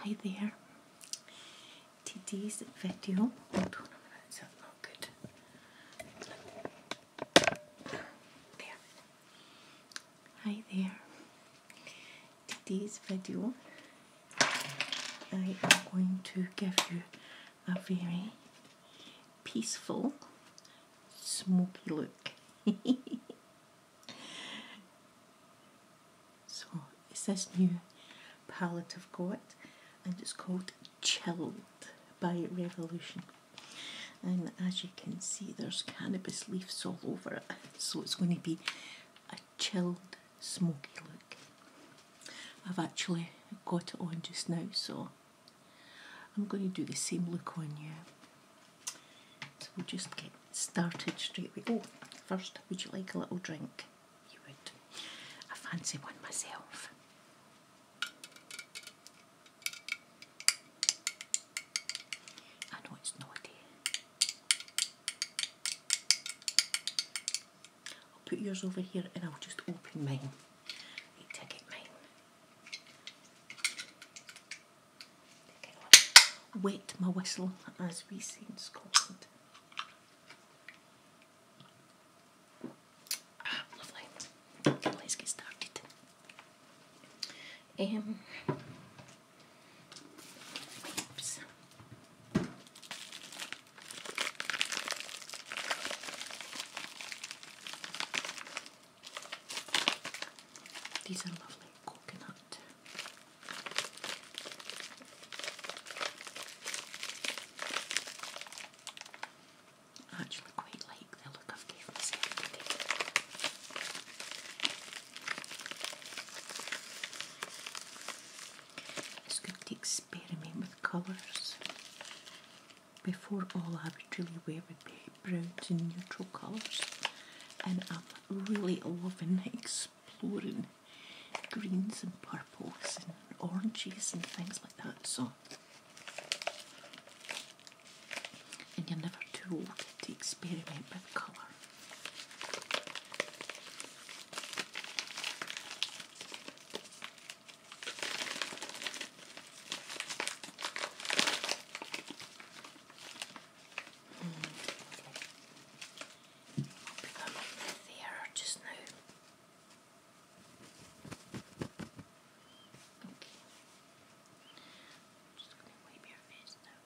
Hi there. Today's video. Hold on a minute, is that not good? There. Hi there. Today's video I am going to give you a very peaceful, smoky look. so it's this new palette I've got and it's called Chilled by Revolution. And as you can see there's cannabis leaves all over it so it's going to be chilled, smoky look. I've actually got it on just now, so I'm going to do the same look on you. So we'll just get started straight away. Oh, first, would you like a little drink? You would. I fancy one myself. I know it's naughty. I'll put yours over here and I'll just open mine. Wait till mine. Wet my whistle, as we say in Scotland. Ah, let's get started. Um, these are lovely coconut. actually quite like the look I've given myself today. It's going take experiment with colours. Before all I would really wear would be browns and neutral colours and I'm really loving exploring greens and purples and oranges and things like that so and you're never too old to experiment with colour. Mm. I think I might left the error just now. Okay. I'm just going to wipe your face now.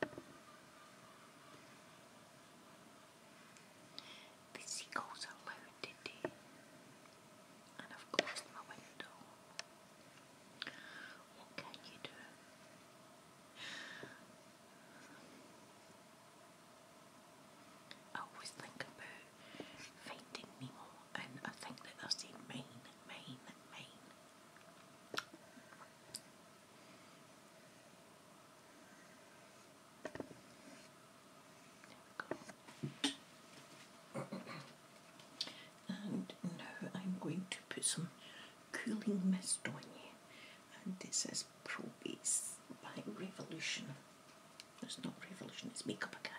The seagulls are loud and I've closed my window. What can you do? I always think about finding Nemo, and I think that they're saying mine, mine, mine and now I'm going to put some cooling mist on you. And it says Pro Base by Revolution. It's not Revolution, it's Makeup Academy.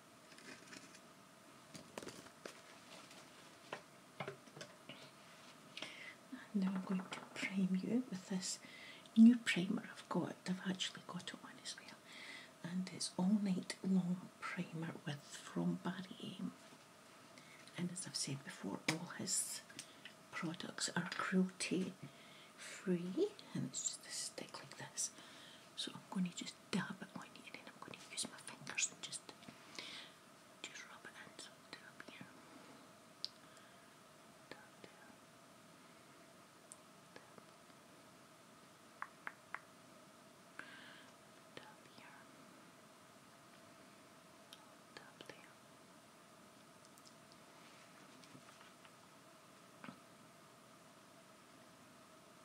And now I'm going to prime you with this new primer I've got. I've actually got it on as well. And it's all night long primer with from Barry Aim. And as I've said before, all his products are cruelty free and it's just a stick like this. So I'm going to just dab on it and I'm going to use my fingers and just, just rub it in. So I'll do here. Dab here.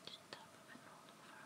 Just tap and roll over.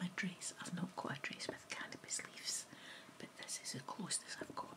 My dress, I've not got a dress with cannabis leaves, but this is the closest I've got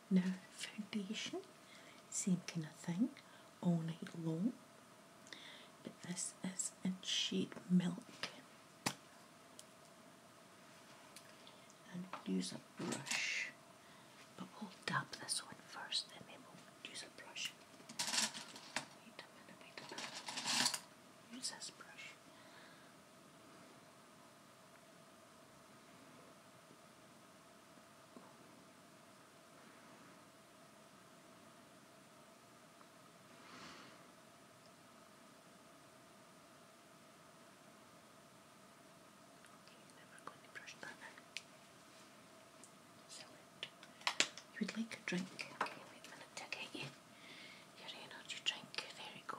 no foundation, same kind of thing, all night long. But this is a shade milk. And use a brush, but we'll dab this one first then we'll use a brush. Wait a minute, wait a minute. Use this brush. You would like a drink? Okay, wait a minute to get you your energy drink. There we go.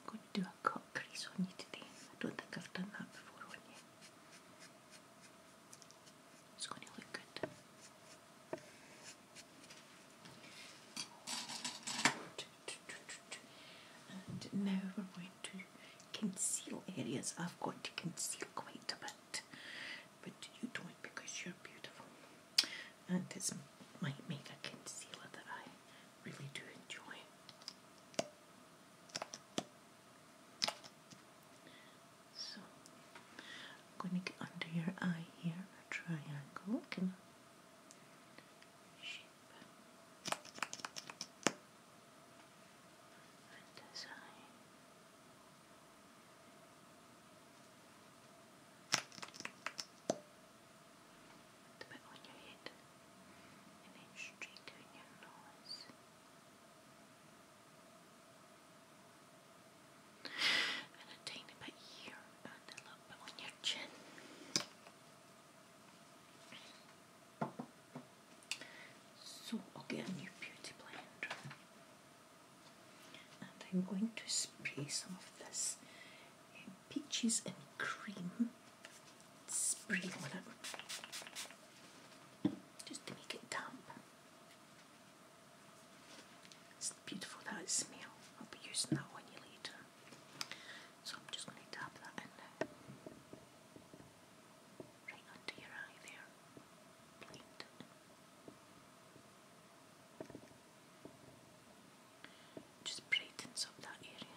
I'm going to do a cut crease on you today. I don't think I've done that before on you. It's going to look good. And now we're going to conceal areas I've got to conceal quite a bit, but you don't because you're beautiful. And this might make a concealer that I really do enjoy. So, I'm going to get under your eye here a triangle. shape design. A bit on your head and then straight your nose. And a tiny bit here and a little bit on your chin. So I'll get a new beauty blender and I'm going to spray some of this um, peaches and cream spray on it just to make it damp. It's beautiful that smell. I'll be using that on later. So I'm just going to dab that in now. Right under your eye there. Just brightens up that area.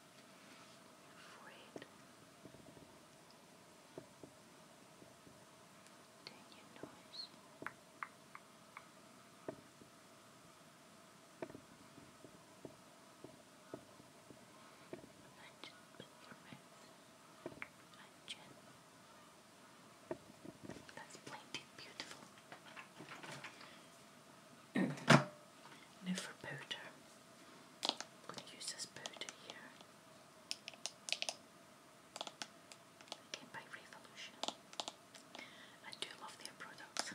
forehead. Down your nose. And just put your mouth and chin. That's plenty beautiful. now powder. I'm going to use this powder here. Again by Revolution. I do love their products.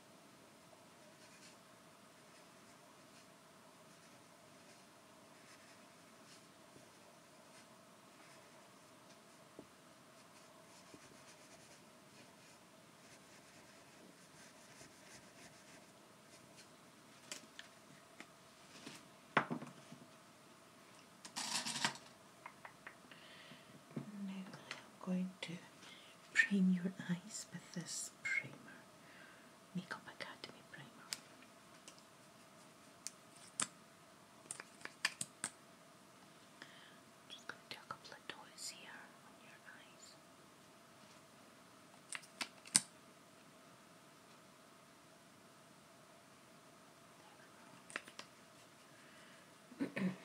Now I'm going to prime your eyes with this primer, Makeup Academy primer. just going to do a couple of dots here on your eyes.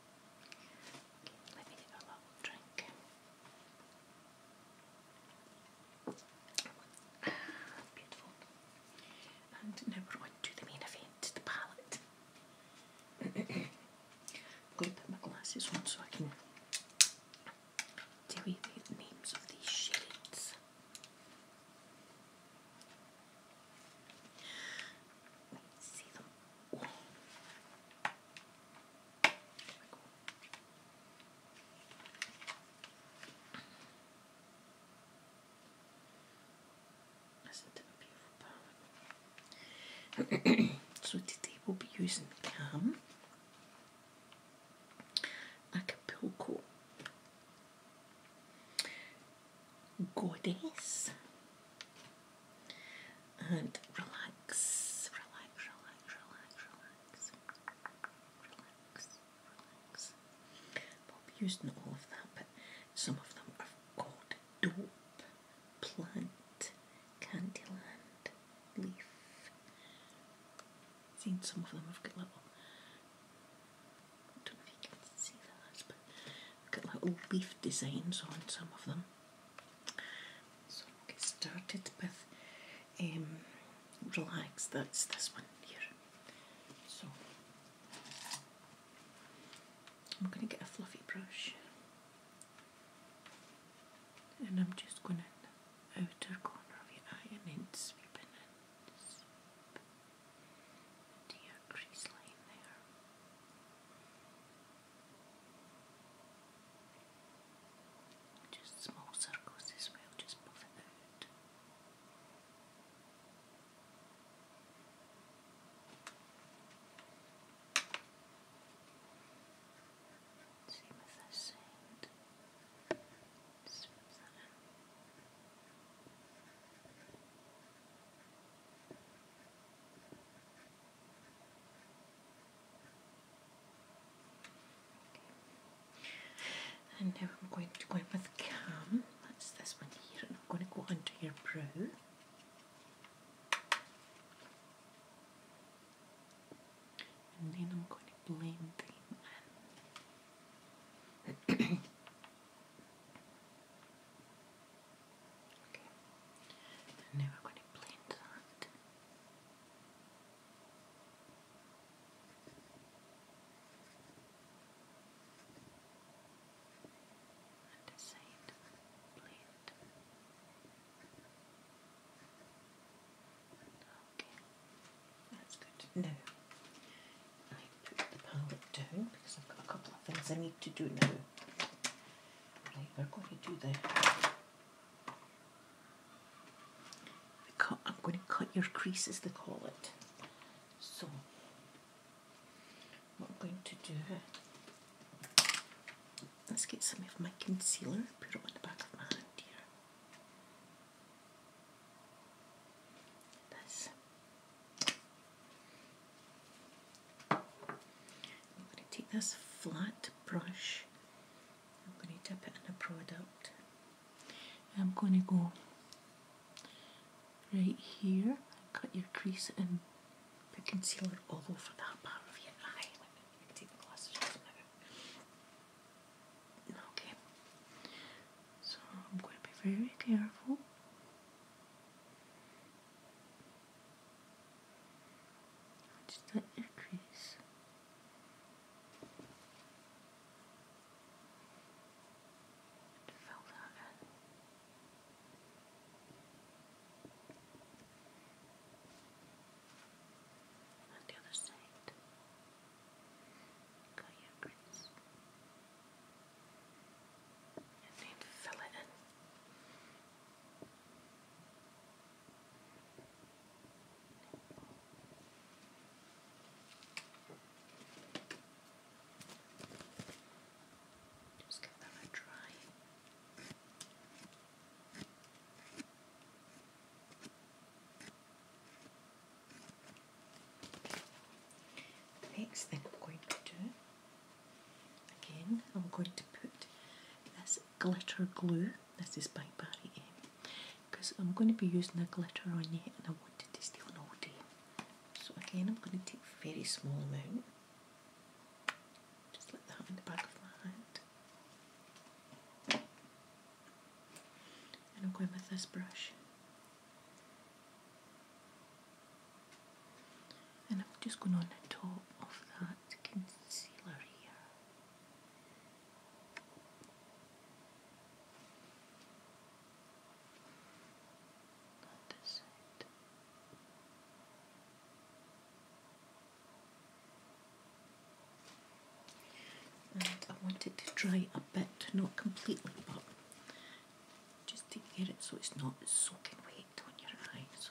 beautiful. And now we're on to the main event, the palette. I'm going to put my glasses on so I can tell you the names of these shades. See them. so today we'll be using Cam Acapulco Goddess and relax, relax, relax, relax, relax, relax, relax. Bob used not all of that, but some of them have got dope, plant, candyland, leaf. I've seen some of them have got little. I don't know if you can see that, but they've got little leaf designs on some of them. So get started with um, Relax, that's this one here. So I'm going to get a fluffy brush and I'm just going to outer corner of your eye and then sweeping in into your crease line there. Just small circles as well, just puff it out. Same with this end. Sweep that in. Just and now I'm going to go in with Cam. That's this one here, and I'm going to go under your brow. And then I'm going to blend And now we're going to blend that. And a saint blade. put the palette down because I've got a couple of things I need to do now. Right, we're going to do the I'm going to cut your creases, they call it. So, what I'm going to do, let's get some of my concealer, put it on the back of my hand here. This. I'm going to take this flat brush I'm going to dip it in a product. I'm going to go right here, cut your crease and put concealer all over that part of your eye. Okay. So I'm going to be very careful. Just the increase. It fell down On the other side. Got your grease. need to fill it in. Just give that a try. next thing I'm going to do, again, I'm going to put this glitter glue. This is by Barry Because I'm going to be using the glitter on you and I wanted to still on all day. So again, I'm going to take a very small amount. Just like that on the back of my hand. And I'm going with this brush. And I'm just going on the top of that concealer here. I want it to dry a bit, not completely, but just to get it so it's not soaking wet on your eyes.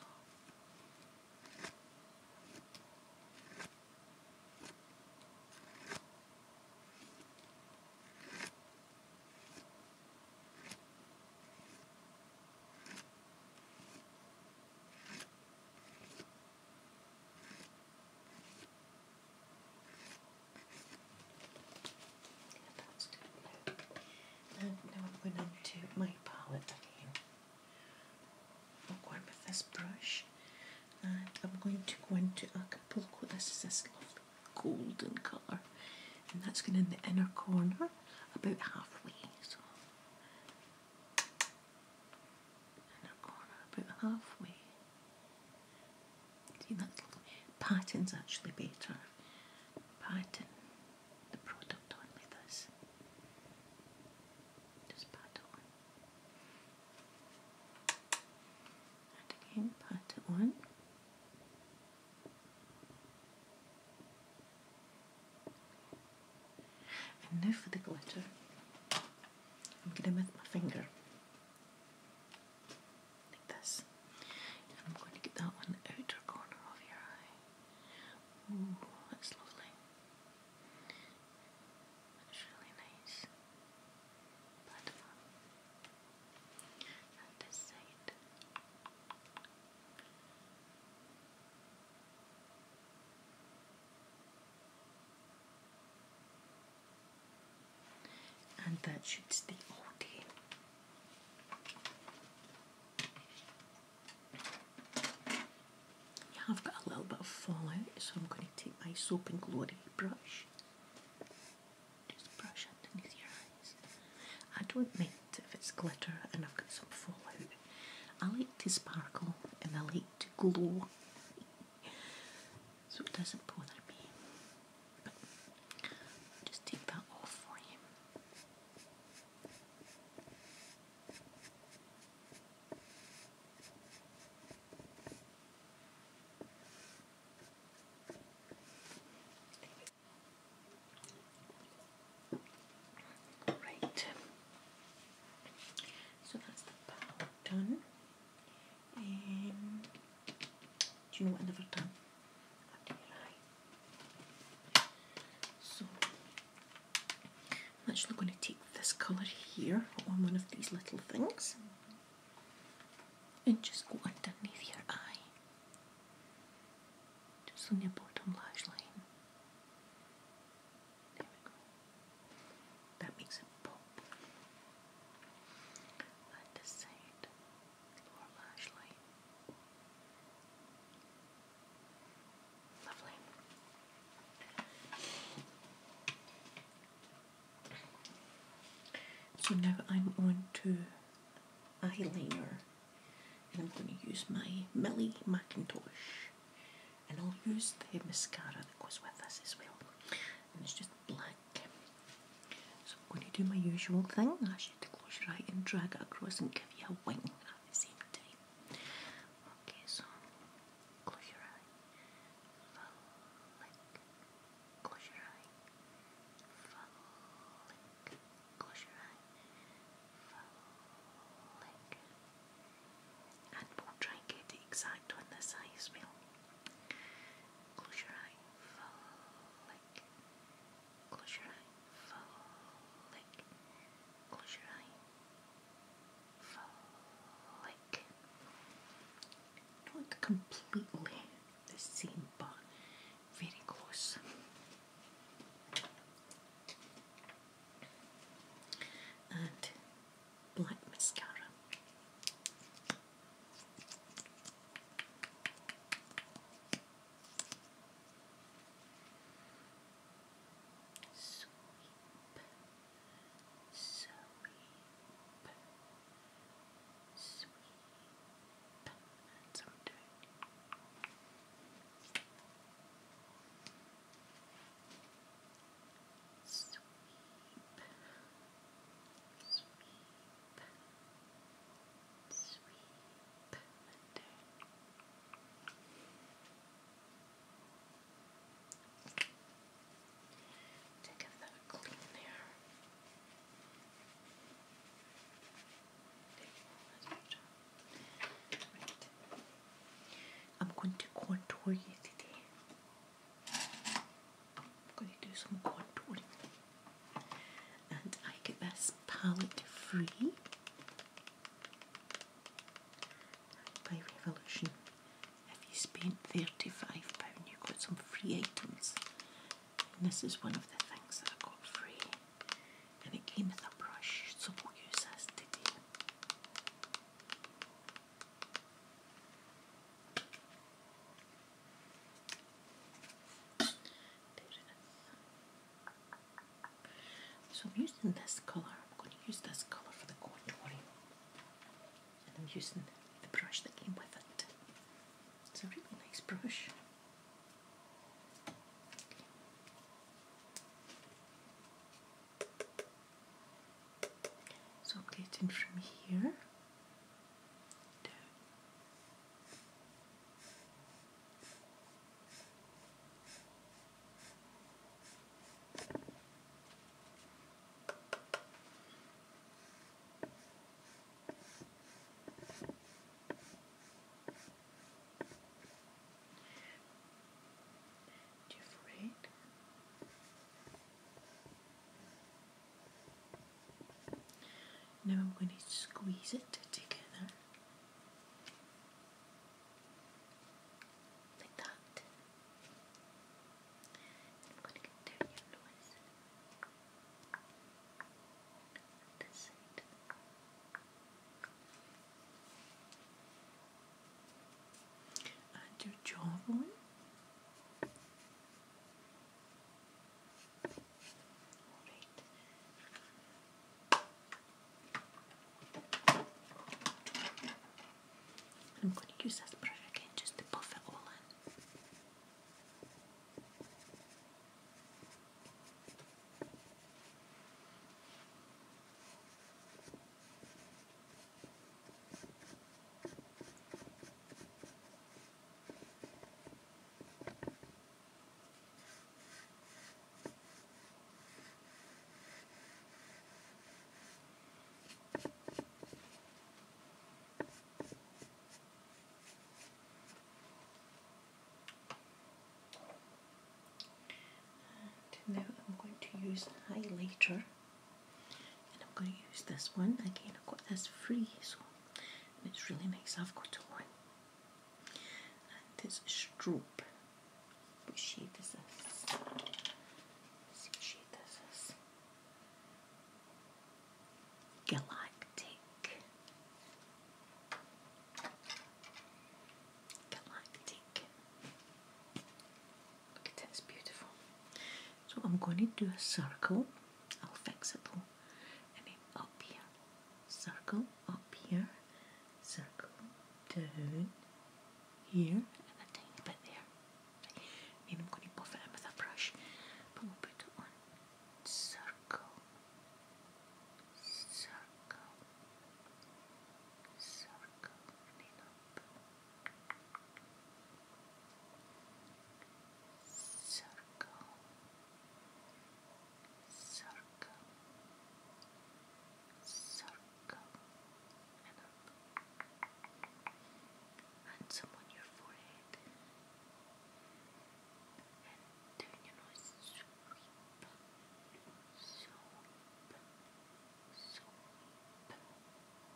That's good. Now, I'm going to my palette again. I'm going with this brush and ah, I'm going to go into Acapulco. This is this lovely golden colour and that's going in the inner corner about halfway. inner corner about halfway. See that's Pattern's actually better. Pattern the product on like this. Just pat it on. And again, pat it on. And now for the glitter. I'm going to with my finger. Like this. I'm going to get that on outer corner of your eye. Ooh, that's lovely. It's really nice platform. Uh, On And that shoots the OD. I've got a little bit of fallout, so I'm going to take my Soap and Glory brush. Just brush underneath your eyes. I don't mind if it's glitter and I've got some fallout. I like to sparkle and I like to glow. so it doesn't bother me. just take that off for you. Right. So that's the power done. Um, do you know what another time? After your So I'm actually going to take this colour here on one of these little things and just go underneath your eye, just on your bottom lash line. There we go. That makes it pop. And this side, lower lash line. So now I'm on to eyeliner and I'm going to use my Millie Macintosh and I'll use the mascara that goes with this as well and it's just black. So I'm going to do my usual thing, I to close your eye and drag it across and give you a wing at the same time. Okay, so close your eye. Flick. Close your eye. Flick. Close your eye. Flick. And we'll try and get exact on this eye as Close your eye. Flick. Close your eye. Flick. Close your eye. Not completely the same, but very close. And black mascara. Sweep, sweep, sweep. That's what I'm doing. Sweep, I'm going to contour you today. I'm going to do some contouring. And I get this palette free by Revolution. If you spend £35, you got some free items. And this is one of the things that I got free. And it came with a brush, so we'll use this today. There it is. So I'm using this colour, I'm going to use this colour for the contouring and I'm using the brush that came with it. It's a really nice brush. So I'm getting from here now I'm going to squeeze it together. Like that. I'm going to continue your noise. This side. And your jawbone. Alright. I'm going to use this brush again just to buff it all in now uh, I'm going to use highlighter and I'm going to use this one. Again, I've got this free, so it's really nice. I've got one. This it's strobe. What shade is this? see this is. Galactic. Galactic. Look at it, it's beautiful. So I'm going to do a circle. I'll fix it though. And then up here. Circle up here circle down here and a tiny bit there. Right. I'm going to buff it in with a brush, but we'll put circle, circle, circle, circle, circle, circle go and on your forehead and turn your nose sweep sweep sweep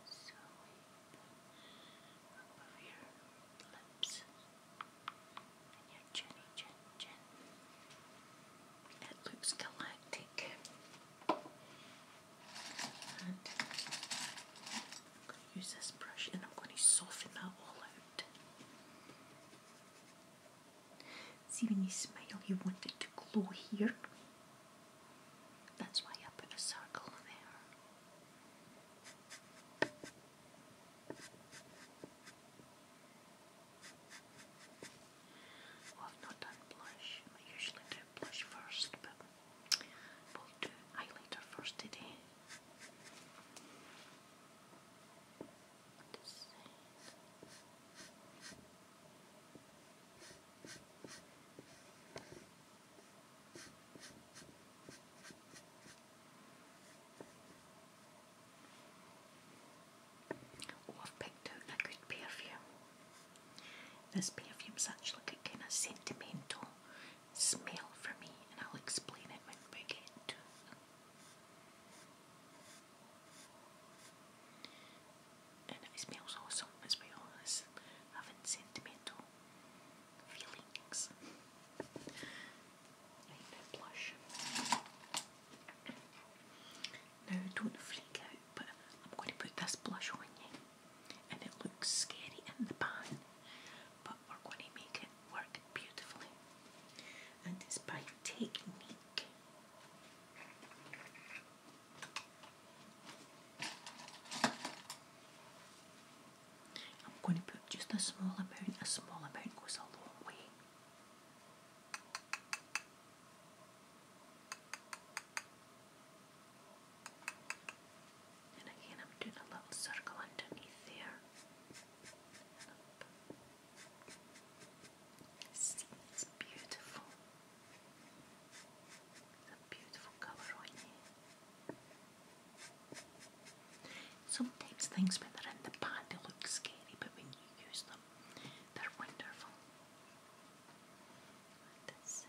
sweep above your lips and your chinny chin chin it looks galactic. I'm going to use this brush and I'm going to soften that all out. See, when you smile, you want it to glow here. That's why I put a circle there. I've not done blush. I usually do blush first, but we'll do highlighter first today. I've picked out a good perfume. This perfume's actually kind of sentimental smell for me, and I'll explain it when we get it. And it smells awesome as well as having sentimental feelings. blush. Now don't freak out, but I'm going to put this blush on you, and it looks scary in the pan, but we're going to make it work beautifully, and it's by technique. I'm going to put just a small amount, a small amount goes a long way. And again, I'm doing a little circle underneath there. See, it's beautiful. It's a beautiful colour on you. Sometimes things when they're in the pad they look scary, but when you use them, they're wonderful on this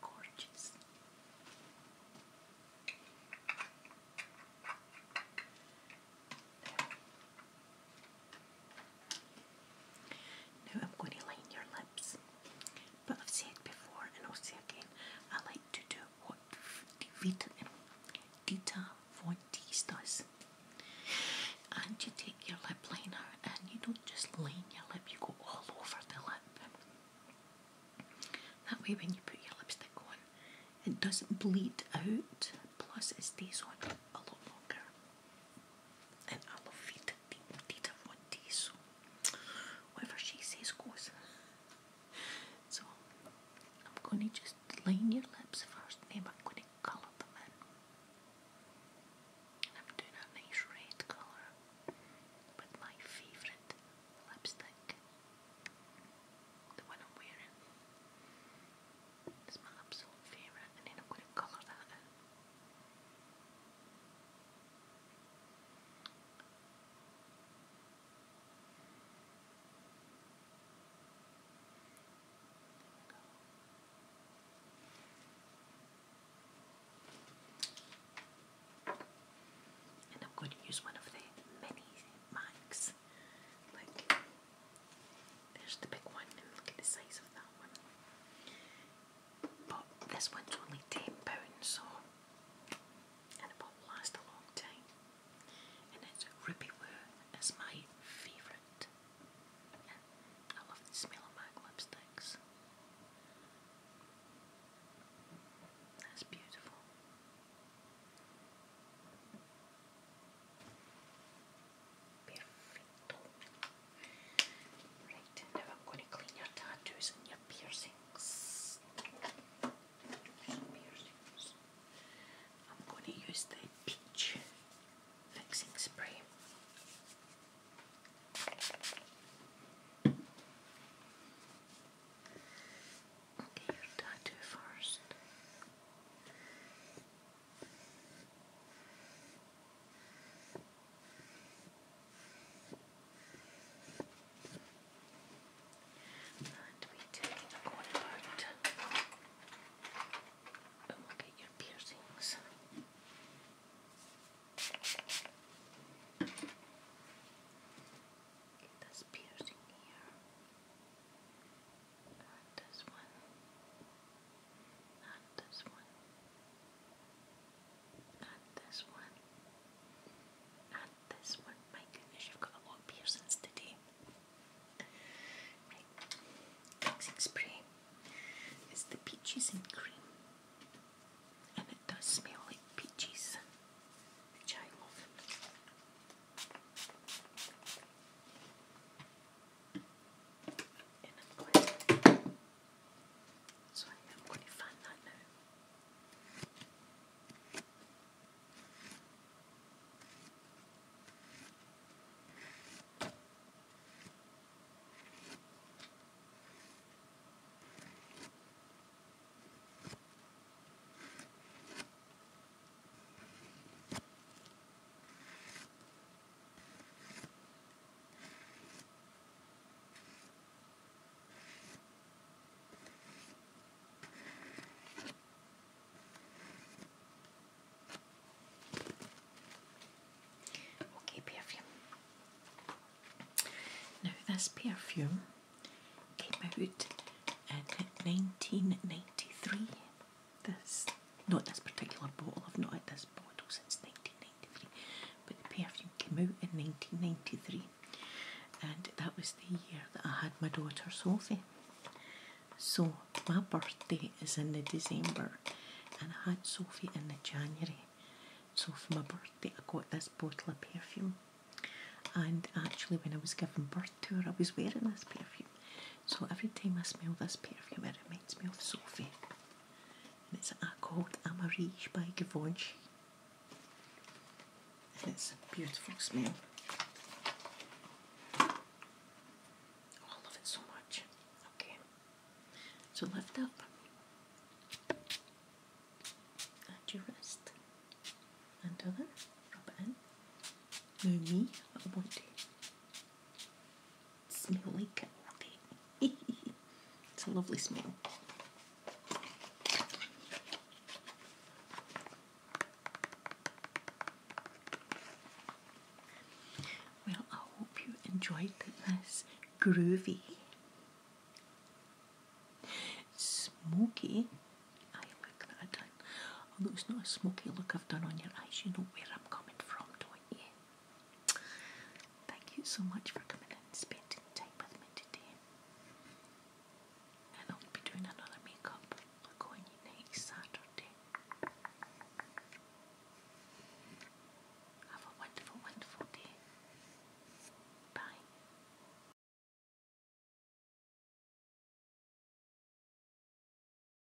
Gorgeous. Now I'm going to line your lips, but I've said before and I'll say again, I like to do what Vita, Dita Von Teese does. And you take your lip liner and you don't just line your lip, you go all over the lip. That way when you put your lipstick on, it doesn't bleed out, plus it stays on a lot longer. And I love Rita. Rita Ronde, whatever she says goes. So I'm going to just line your lips first, then I'm going to colour them in. I'm doing a nice red colour with my favourite lipstick, the one I'm wearing. It's my absolute favourite and then I'm going to colour that And I'm going to use one of the mini max, like there's the big one, and look at the size of that one. But this one's only £10, so. And it will last a long time. And it's Ruby Woo, it's my favourite. I love the smell of MAC lipsticks. That's beautiful. Right, now I'm going to clean your tattoos and your piercings. I'm going to use the peach fixing spray. tattoo first. And we take the corner out and look at your piercings. Get this piercing here. Not this one. Not this one. Not this one. Not this one. My goodness, you've got a lot of piercings today. Fixing spray. It's the peaches and cream. And it does smell like peaches. Which I love in a So I am going to find that now we perfume. Now this perfume came out in 1993 this, not this particular bottle, I've not had this bottle since 1993, but the perfume came out in 1993, and that was the year that I had my daughter Sophie. So my birthday is in the December, and I had Sophie in the January. So for my birthday, I got this bottle of perfume. And actually, when I was giving birth to her, I was wearing this perfume. So every time I smell this perfume, it reminds me of Sophie. And it's called Amarige by Givenchy. And it's a beautiful smell. Oh, I love it so much. Okay. So lift up. And your wrist. And other. Rub it in. Now me, I want smelly it's a lovely smell. Well, I hope you enjoyed this groovy, smoky. I like that I've done. Although it's not a smoky look I've done on your eyes, you know where coming from, do Thank you so much for coming and spending time with me today. And I'll be doing another makeup look on you next Saturday. Have a wonderful, wonderful day. Bye.